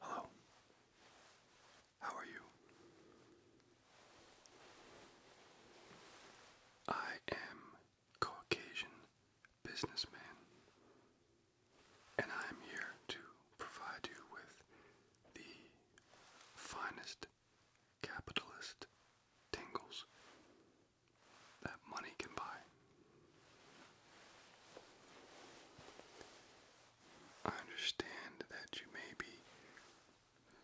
Hello. How are you? I am Caucasian businessman, and I am here to provide you with the finest capitalist tingles that money can buy. I understand that you may be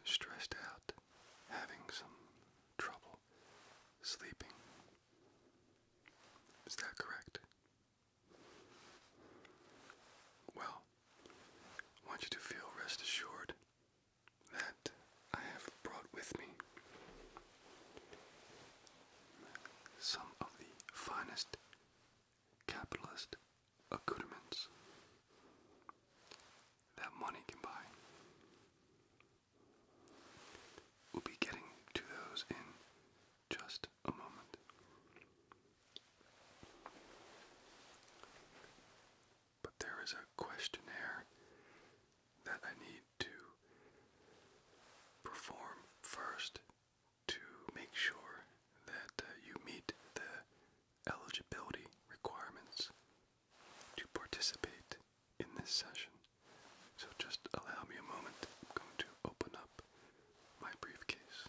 stressed out, having some trouble sleeping. Is that correct? Well, I want you to feel rest assured that I have brought with me some of the finest capitalist accoutrements that money can buy. We'll be getting to those in just a moment. But there is a questionnaire that I need to perform first to make sure that uh, you meet the eligibility requirements to participate in this session. So just allow me a moment. I'm going to open up my briefcase.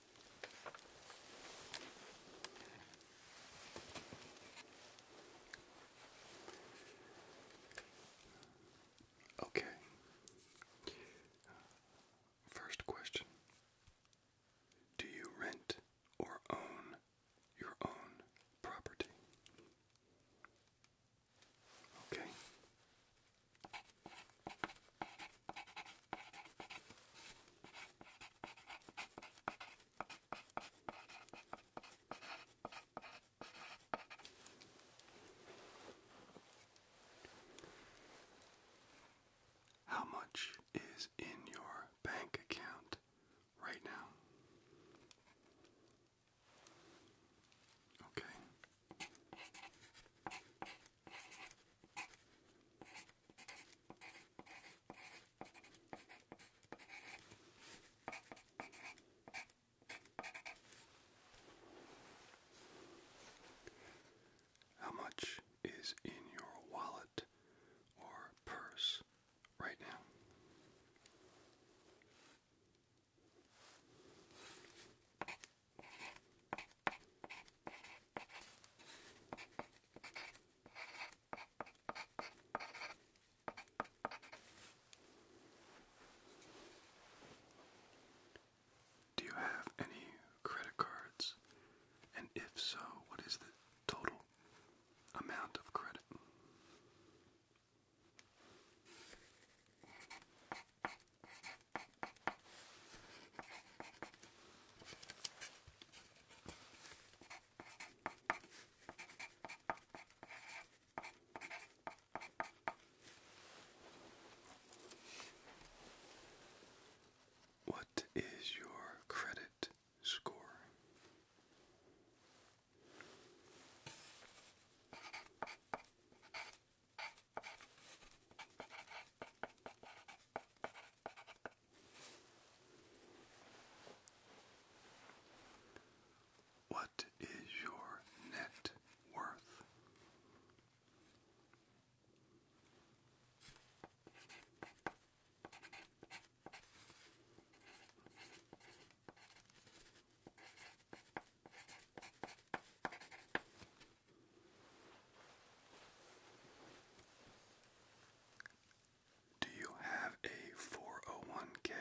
Okay. First question Do you rent or own your own property? Okay. How much is in your bank account right now? Okay. How much is in your wallet or purse right now? Do you have any credit cards? And if so, what is the total amount of credit? What is your credit score? What is your net worth? Do you have a 401k?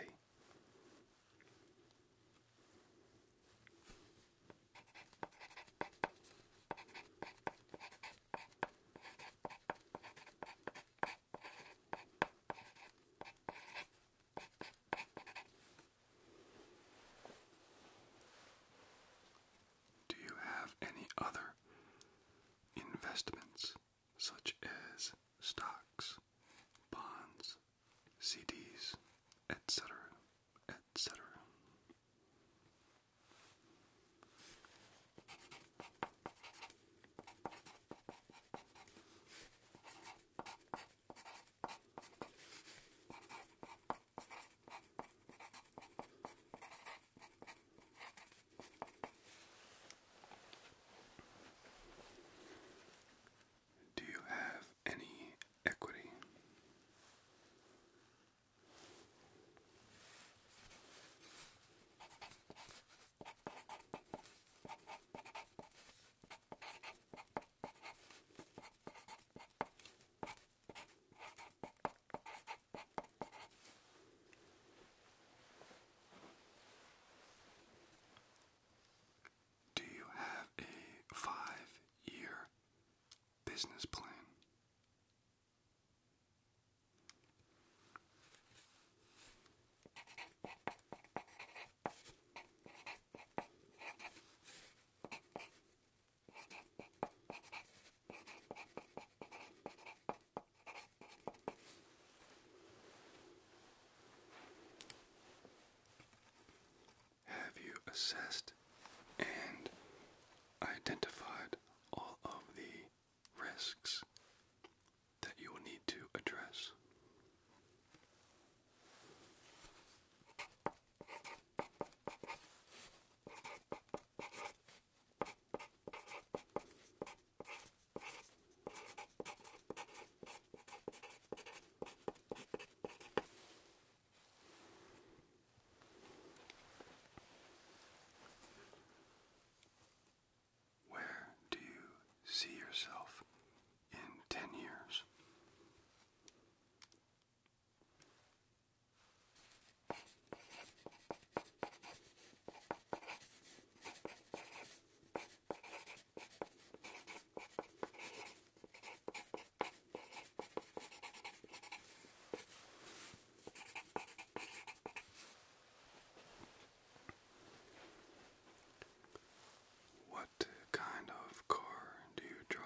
Do you have any other investments such as stocks, bonds, CDs, etc., etc. Do you have any equity? Do you have a five year business plan? Have you assessed and identified all of the risks that you will need to address? Where do you see yourself in 10 years? What kind of car do you drive?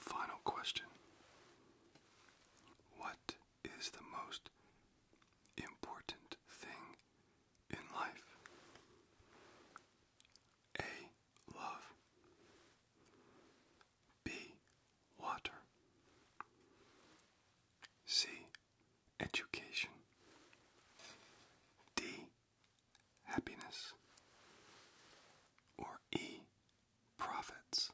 Final question What is the most important thing in life. A. Love. B. Water. C. Education. D. Happiness. Or E. Profits.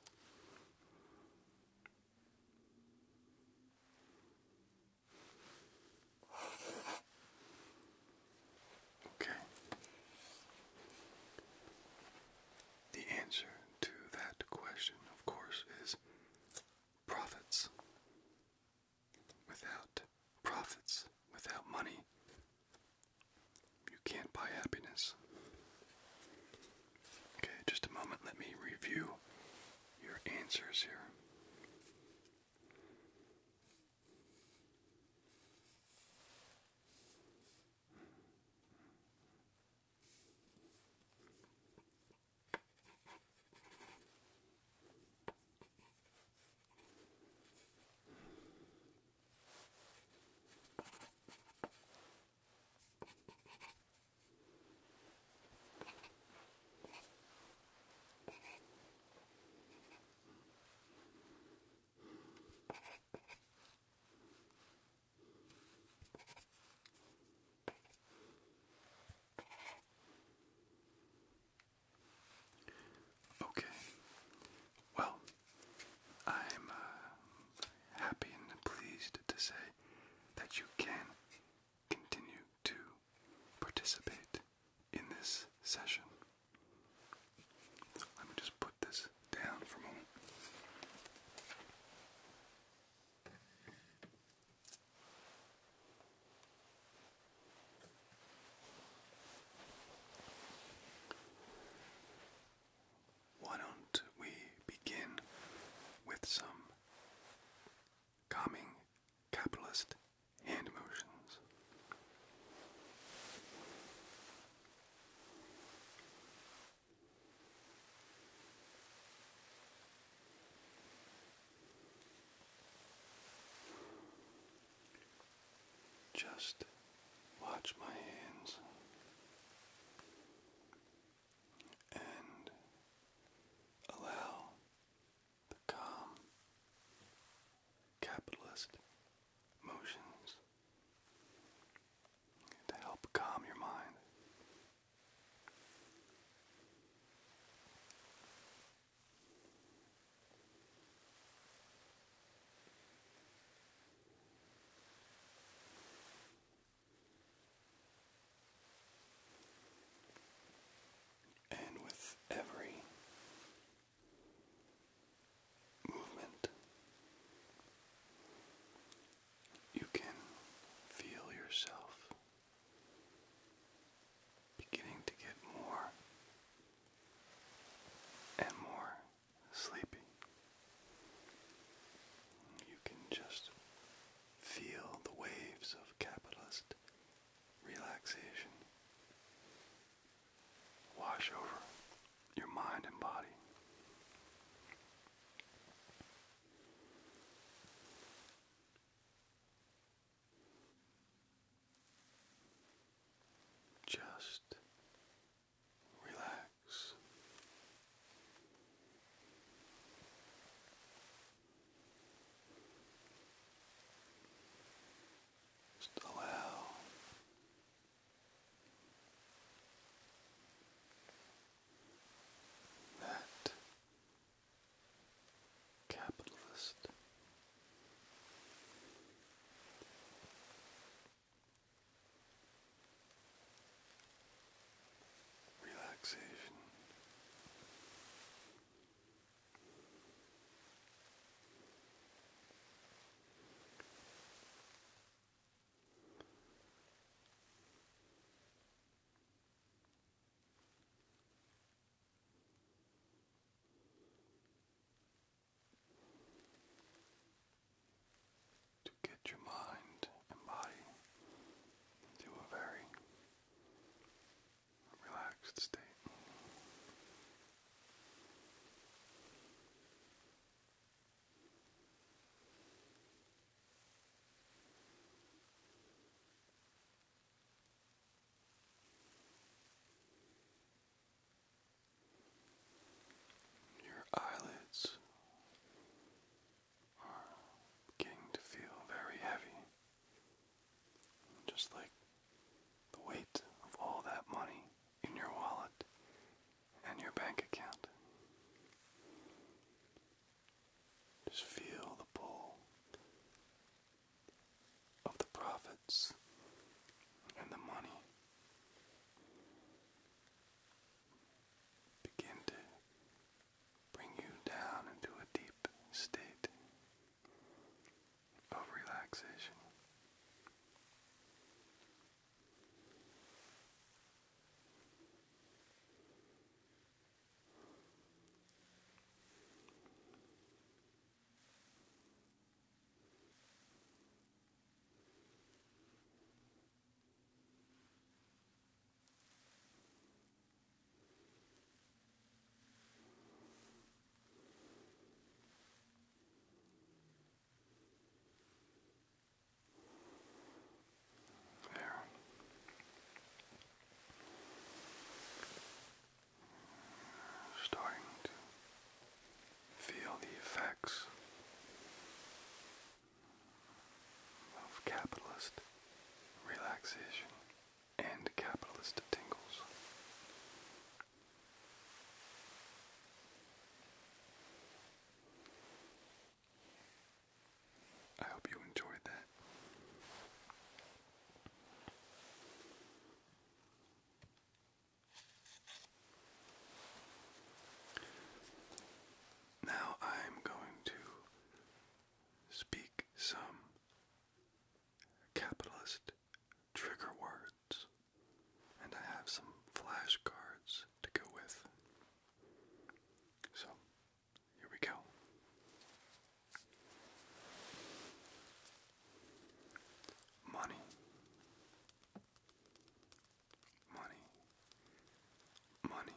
Okay. The answer to that question, of course, is profits. Without profits, without money, you can't buy happiness. Okay, just a moment. Let me review your answers here. Okay. Well, I'm uh, happy and pleased to say that you can continue to participate in this session. Let me just put this down for a moment. Why don't we begin with some calming capitalist hand motions. Just watch my hands and allow the calm capitalist motions to help calm your mind. And with every movement, you can feel yourself beginning to get more and more sleepy. You can just Feel the waves of capitalist relaxation wash over your mind and body. Just relax allow that capitalist relaxation get your mind and body into a very relaxed state. Your eyelids are beginning to feel very heavy. Just like the weight of all that money in your wallet and your bank account. Just feel the pull of the profits and the money. Begin to bring you down into a deep state of relaxation. There. Starting to feel the effects of capitalist relaxation and capitalist tingles. I hope you enjoyed that. Now I'm going to speak some capitalist trigger words, and I have some flashcards to go with. So, here we go. Money. Money. Money.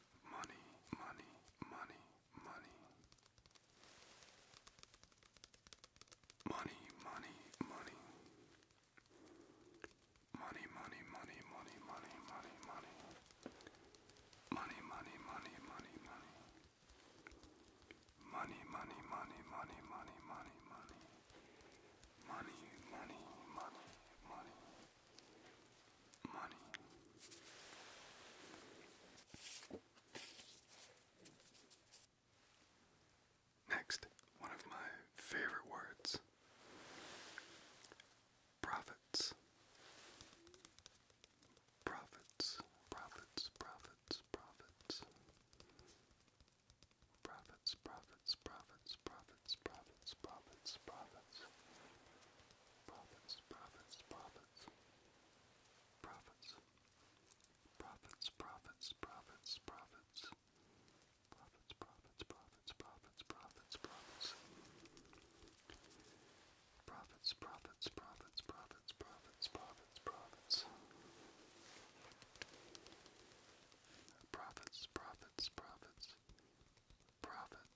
money, money, money, money. Money, money, money. Money, money, money, money, money, money, money. Money, money, money, money, money. Money, money, money, money, money, money, money. Money, money, money, money money. Next, one of my favorite words profits. Profits, profits, profits, profits. Profits, profits, profits, profits prophets, prophets, prophets, prophets, prophets, prophets, prophets, prophets, prophets, prophets, prophets, prophets. Prophets, prophets, prophets, prophets, prophets, prophets. Prophets, prophets, prophets, prophets, prophets, prophets, prophets. Prophets, prophets, prophets, prophets,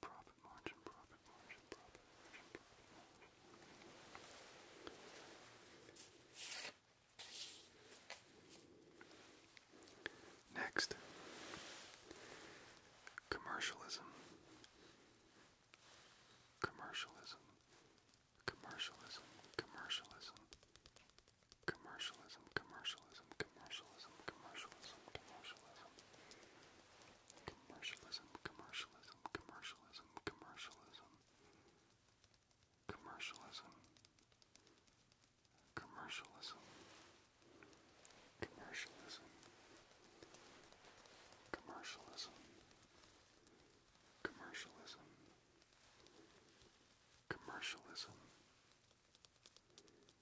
Profit margin, profit margin, profit margin, Next, commercialism. Commercialism, commercialism, commercialism, Commercialism, commercialism, commercialism, commercialism, commercialism. Commercialism, commercialism, commercialism, commercialism. Commercialism. Commercialism. Commercialism. Commercialism. Commercialism. Commercialism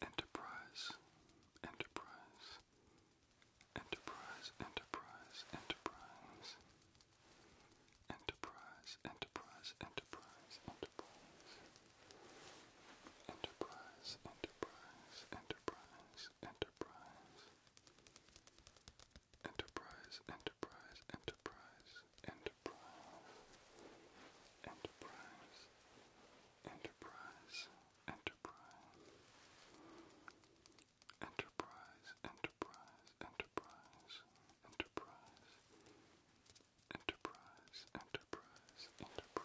Enterprise, enterprise, enterprise, enterprise, enterprise, enterprise, enterprise, enterprise, enterprise, enterprise, enterprise, enterprise, enterprise, enterprise, enterprise, enterprise, enterprise, enterprise. Enterprise, Enterprise, enterprise, enterprise, enterprise, enterprise, enterprise, enterprise, enterprise, enterprise,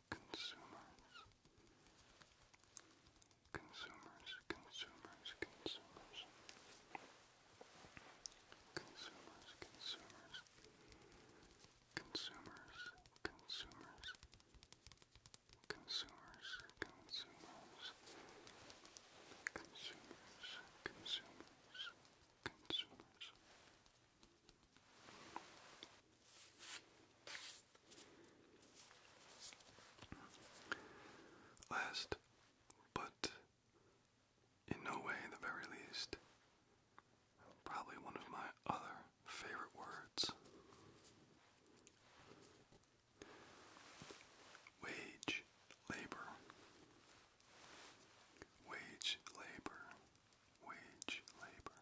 consumers, consumers, consumers, consumers, consumers, consumers, consumers, consumers, consumers, consumers, consumers, consumers, consumers. Last, but in no way the very least, probably one of my other favorite words wage labor. Wage labor. Wage labor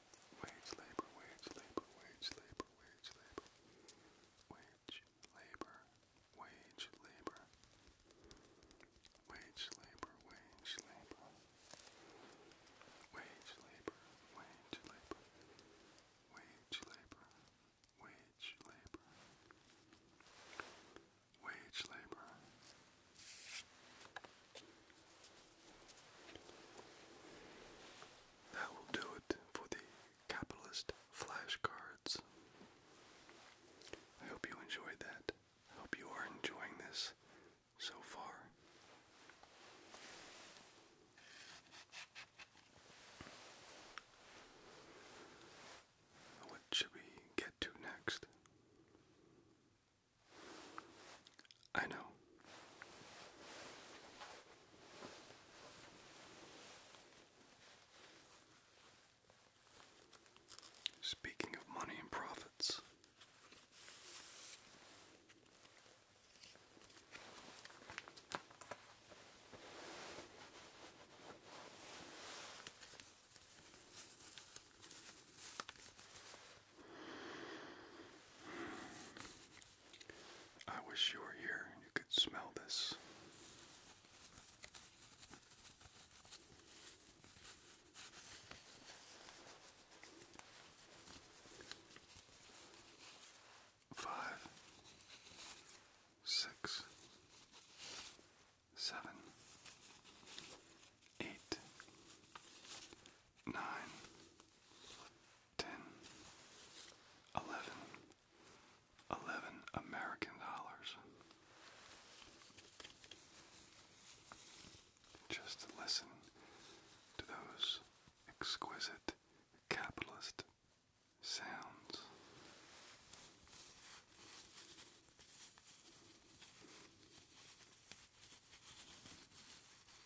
Wage labor, wage labor, wage labor, wage labor. Wage labor, wage labor. Wage labor, wage labor. Wage labor, wage labor. Wage labor, wage labor. labor. That will do it for the capitalist flashcards. I hope you enjoyed that. I hope you are enjoying this so far. What should we get to next? I know Speaking of money and profits, I wish you were here and you could smell this. Five, six, seven, eight, nine, ten, eleven, eleven American dollars. Just to listen to those exquisite capitalist sounds.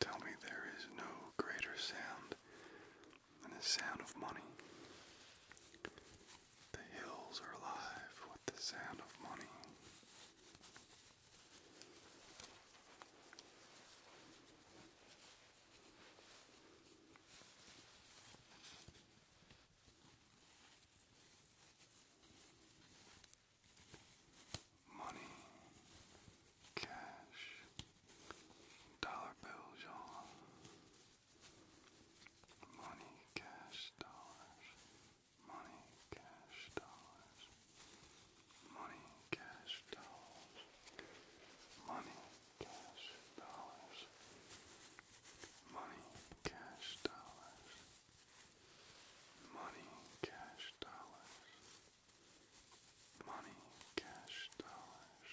Tell me there is no greater sound and the sound of money. The hills are alive with the sound of money. Money, cash, dollar bills, y'all. Money, cash, dollars. Money, cash, dollars. Money, cash, dollars. Money, cash, dollars. Money, cash, dollars. Money, cash, dollars. Money, cash, dollars.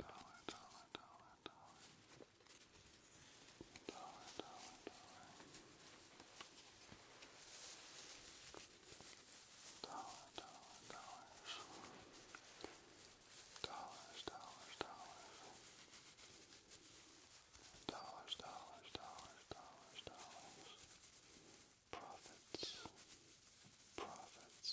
dollars, dollars, dollars, dollars, dollars, profits, profits,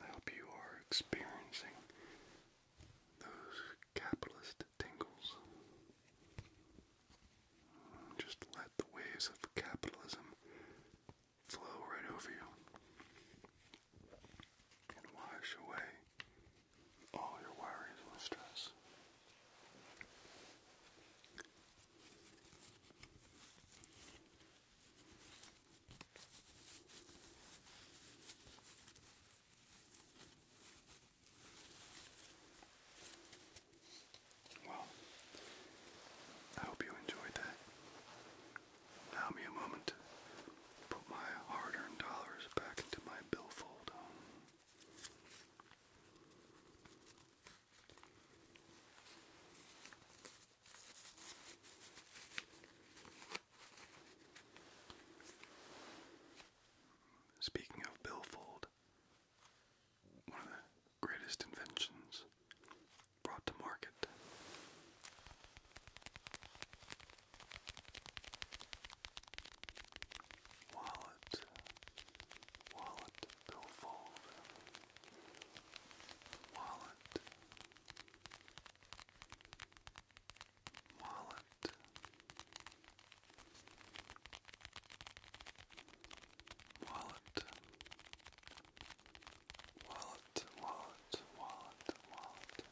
I hope you are experiencing those capitalist tingles. Just let the waves of capitalism flow right over you and wash away all your worries and stress. Well, I hope you enjoyed that. Allow me a moment to put my hard-earned dollars back into my billfold. Speaking of billfold, greatest inventions brought to market. Wallet, wallet, billfold, wallet, wallet, wallet, wallet, wallet, wallet, wallet,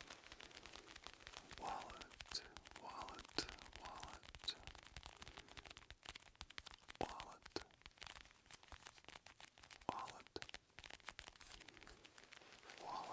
wallet, wallet, wallet, wallet, wallet, wallet. Wallet,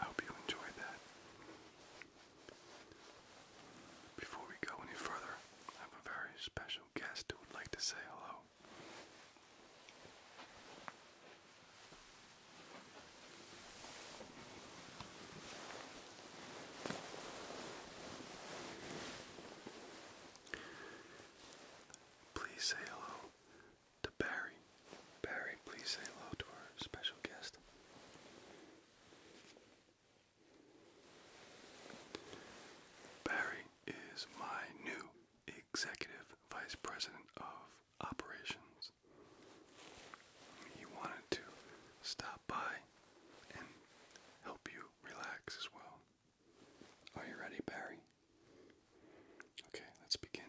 I hope you enjoyed that. Before we go any further, I have a very special guest who would like to say hello. Please say hello to Barry. Barry, please say hello to our special guest. Barry is my new executive vice president of operations. He wanted to stop by and help you relax as well. Are you ready, Barry? Okay, let's begin.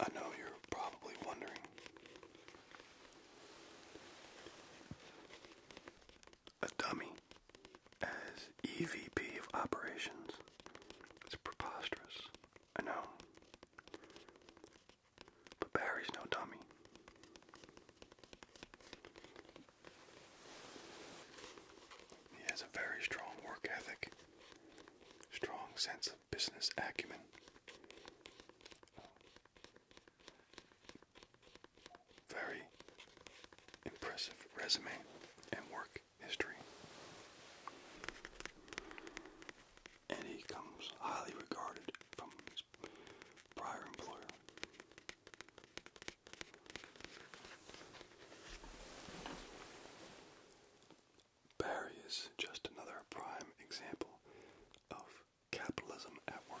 I know you're probably wondering a dummy as EVP of operations. It's preposterous. I know. But Barry's no dummy. He has a very strong work ethic, strong sense of business acumen. Very impressive resume and work history. And he comes highly regarded from his prior employer. Barry is just another prime example of capitalism at work.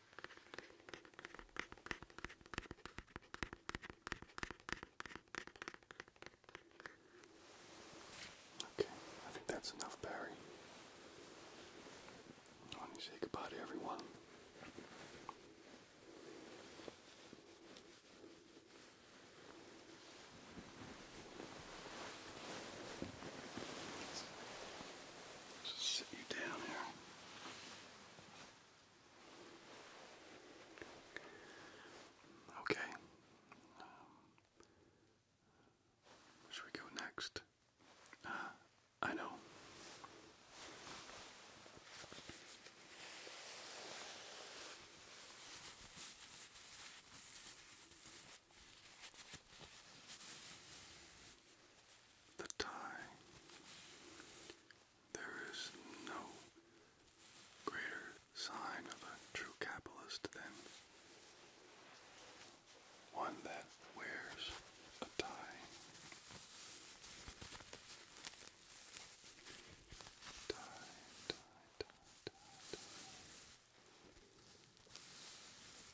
Okay, I think that's enough, Barry. Why do say goodbye to everyone? Just sit you down here. Okay. Um, should we go next? Uh, I know the time. There is no greater sign of a true capitalist than one that wears a tie. Tie, tie, tie, tie, tie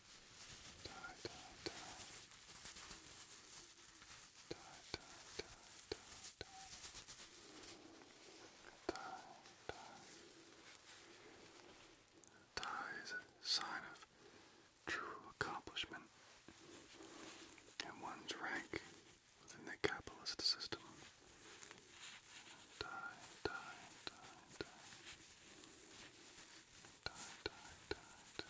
die, die, die. Die, die, die, die, die. Die, die. Die is a sign of true accomplishment and one's rank within the capitalist system. Die, die, die, die. Die, die, die, die.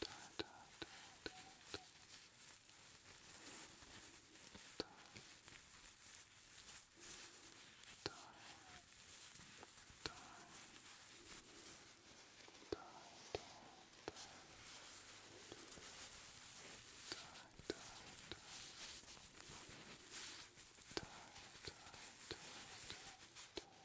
da, da, da, da, da. Da. Da. Da. Da, da, da. Da, da, da. Da, da, da, da, da.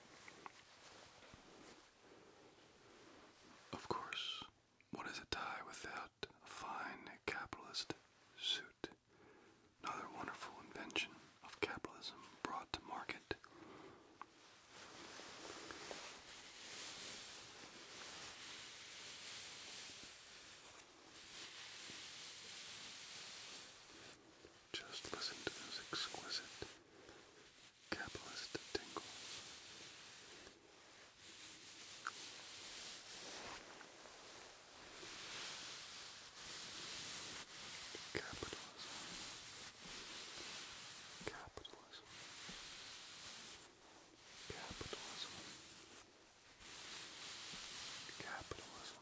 Of course, what is a tie without a fine capitalist suit? Another wonderful invention of capitalism brought to market. Just listen to those exquisite capitalist tingles. Capitalism. Capitalism. Capitalism. Capitalism.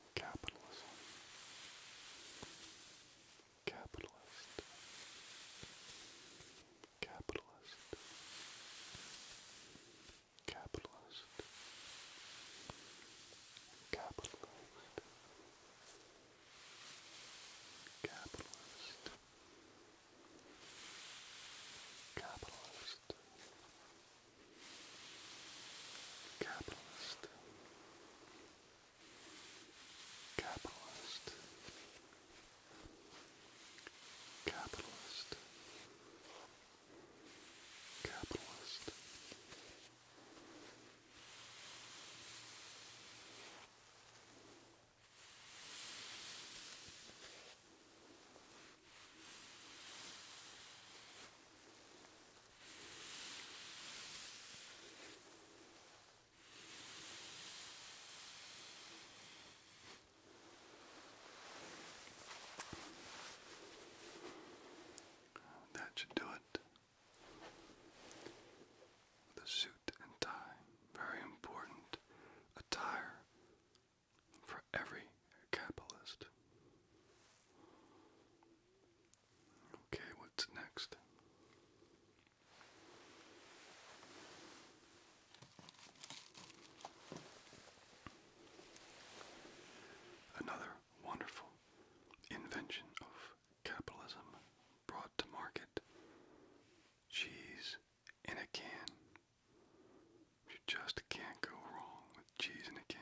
capitalism, capitalist, capitalist, capitalist, capitalist, capitalist. Capitalist, Capitalist. Capitalist. Capitalist. Capitalist. Capitalist. That should do it. The suit and tie, very important attire for every capitalist. Okay, what's next? Another wonderful invention of capitalism brought to market cheese in a can. You just can't go wrong with cheese in a can.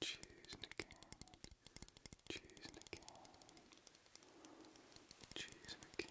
Choosing again, choosing again, choosing again. Choosing again,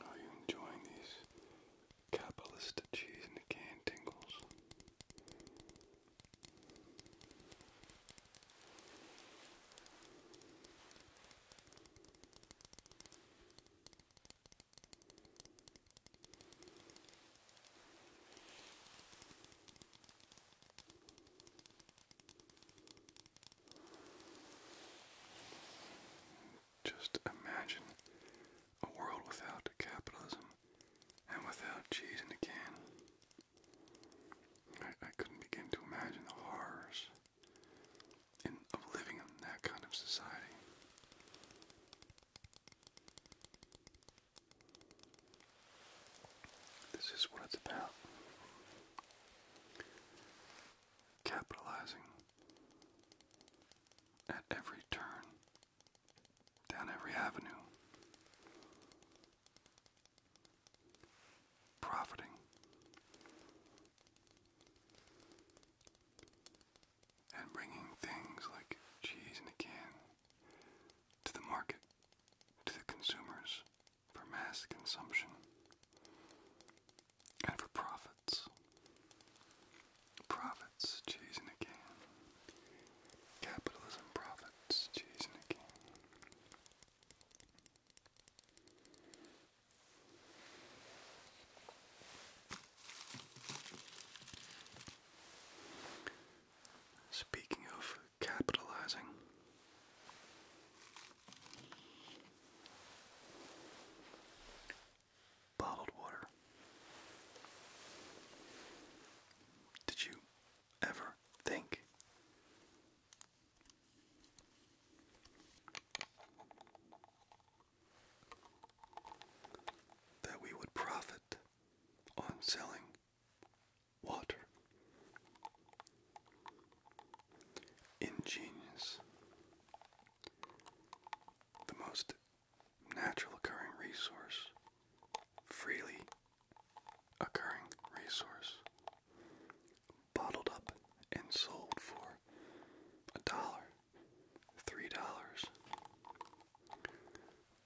Are you enjoying these capitalist cheese in a can tingles? Just imagine a world without capitalism and without cheese in a can. I, couldn't begin to imagine the horrors of living in that kind of society. This is what it's about. Capitalizing at every turn down every avenue, profiting. And bringing things like cheese in a can to the market, to the consumers for mass consumption and for profits. Profits, chasing a can. Capitalism profits, cheese a can. Speaking of capitalizing, bottled water. Did you ever think that we would profit on selling water? Ingenious. The most natural occurring resource, freely occurring resource, bottled up and sold for a dollar, three dollars,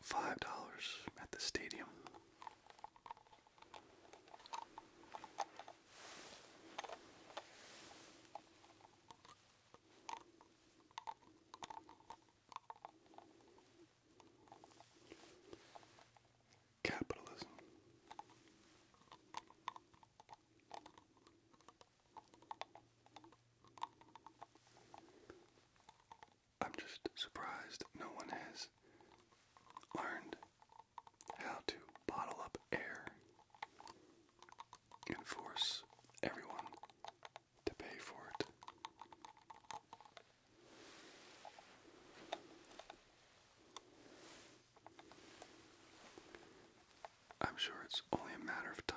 five dollars at the stadium. Capitalism. I'm just surprised no one has learned how to bottle up air and force everyone to pay for it. I'm sure it's only a matter of time.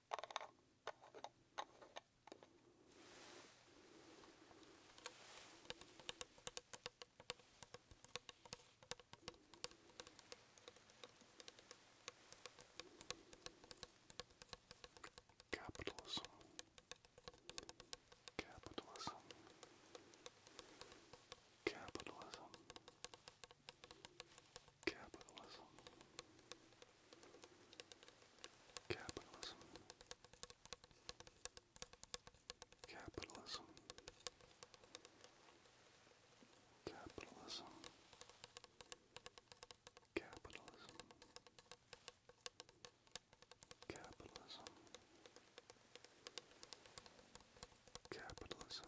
Capitalism. Capitalism. Capitalism. Capitalism. Capitalism. Capitalism. Capitalism. Capitalism. Capitalism. Capitalism.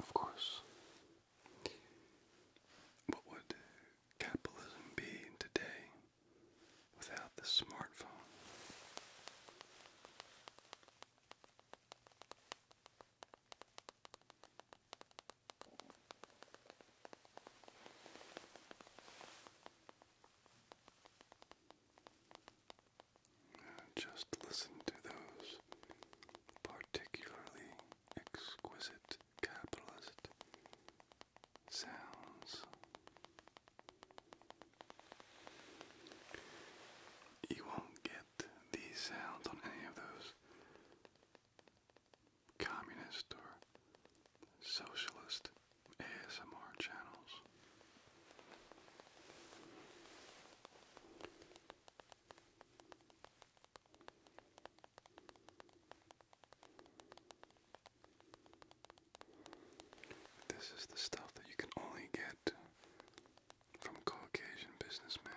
Of course. What would capitalism be today without the smartphone? Just listen to those particularly exquisite capitalist sounds. You won't get these sounds on any of those communist or socialist ASMR channels. This is the stuff that you can only get from Caucasian businessmen.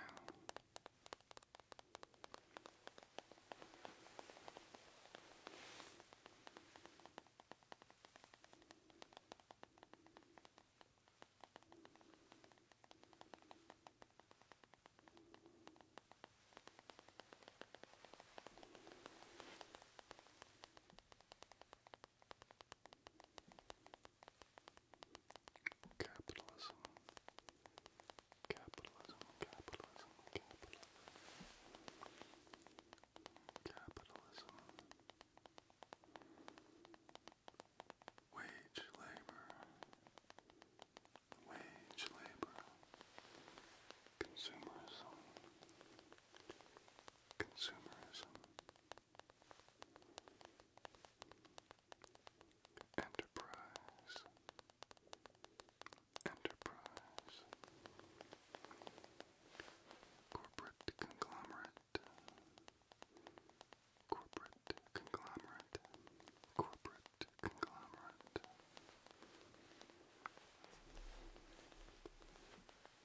Capitalism, capitalism, capitalism, capitalism, capitalism. Wage labor, wage labor, consumerism, consumerism, enterprise, enterprise, corporate conglomerate corporate conglomerate, corporate conglomerate.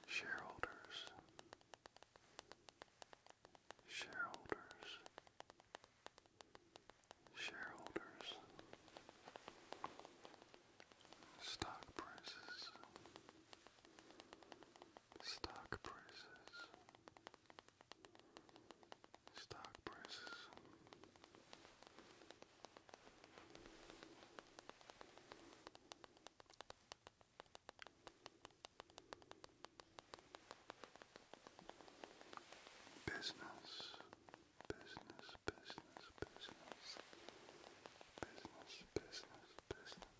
Shareholders, shareholders, shareholders, stock prices, Stock prices. Stock prices. Business, business, business, business, business, business, business,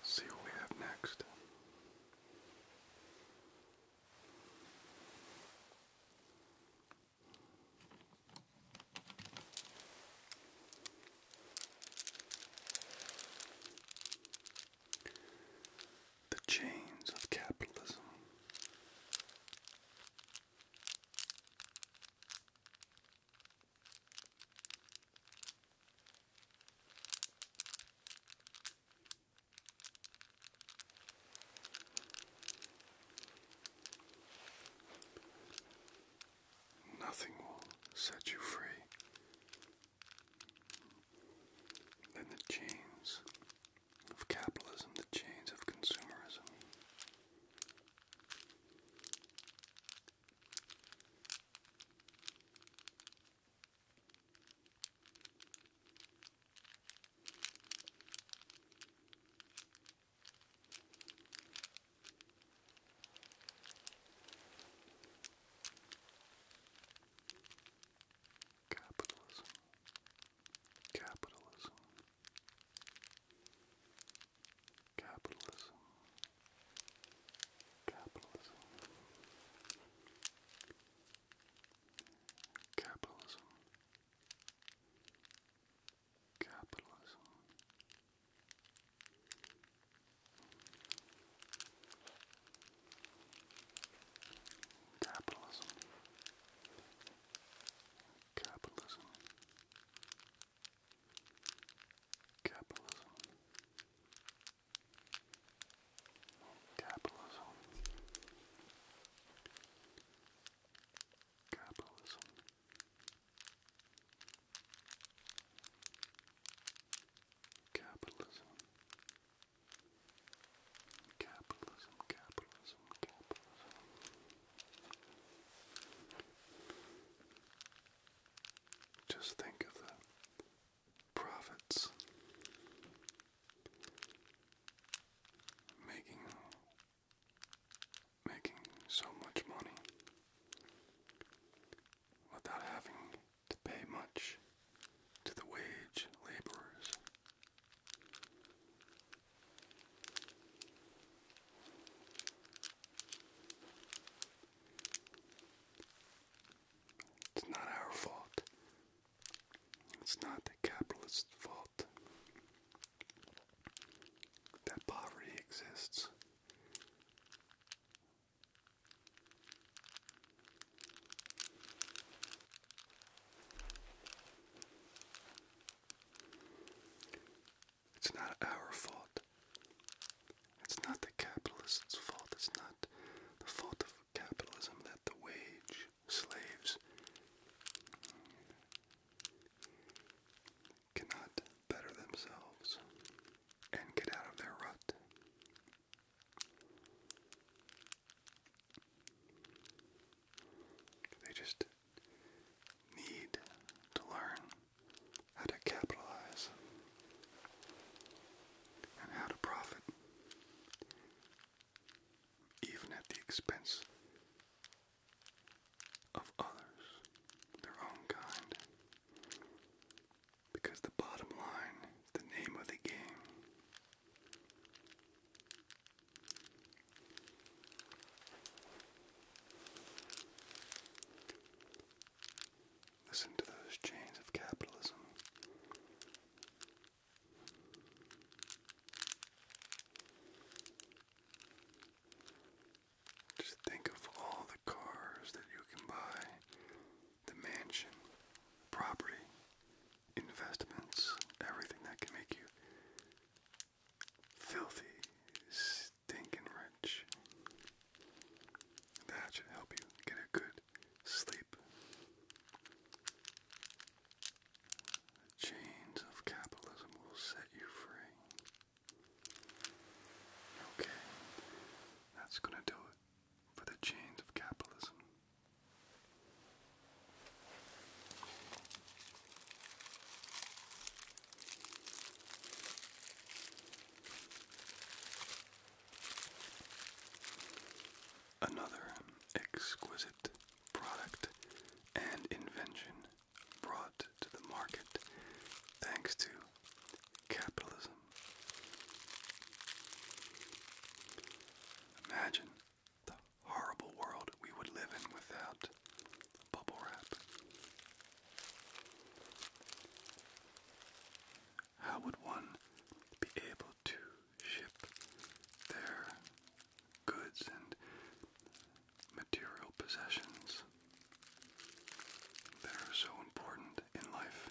Let's see what we have next. The chains of capitalism. Nothing will set you free then the chains of capitalism, the chains of consumerism. Capitalism. Capitalism. Capitalism. Capitalism. Capitalism. Capitalism. Capitalism. Capitalism. Capitalism. Capitalism. Capitalism. Capitalism. Capitalism, capitalism, capitalism. Just think of the profits making making so much money without having to pay much to the wage laborers. It's not our fault. It's not the capitalist's fault that poverty exists. It's not our fault. It's not the capitalists' fault. It's not the fault of capitalism that the wage slaves cannot better themselves and get out of their rut. They just need to learn how to capitalize and how to profit, even at the expense of others, their own kind. Because the bottom line is the name of the game. Listen to those chains of capitalism. Just think of all the cars that you can buy the mansion, property, investments, everything that can make you filthy, stinking rich. That should help you get a good sleep. The chains of capitalism will set you free. Okay, that's gonna do it for the chains of capitalism. Another exquisite product and invention brought to the market thanks to capitalism Imagine the horrible world we would live in without bubble wrap. How would one be able to ship their goods and material possessions that are so important in life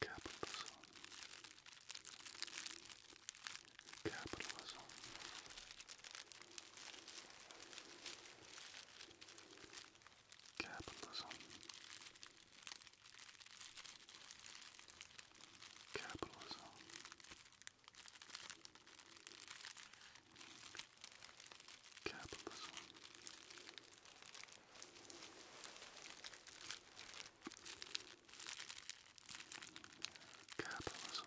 Capitalism. Capitalism. Capitalism. Capitalism. Capitalism. Capitalism. Capitalism.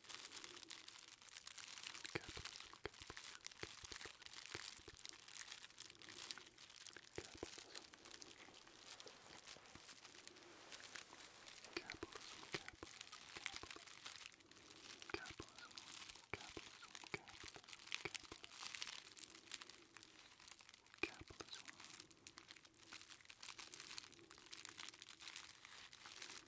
Capitalism, capitalism, capitalism, capitalism, capitalism, capitalism, capitalism, capitalism, capitalism.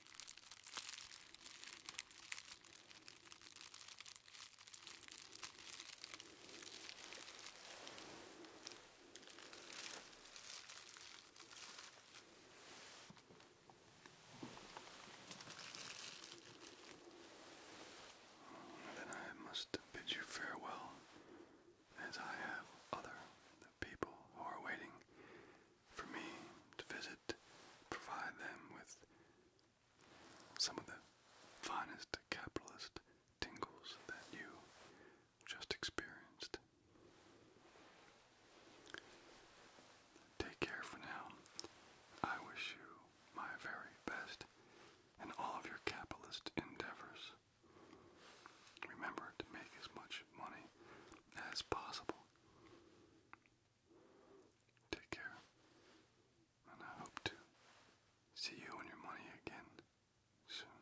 Then I must bid you farewell, as I have other people who are waiting for me to visit, provide them with some of the finest capitalist tingles that you just experienced. Take care for now. I wish you my very best in all of your capitalist endeavors. Remember to make as much money as possible. Take care, and I hope to see you and your money again soon.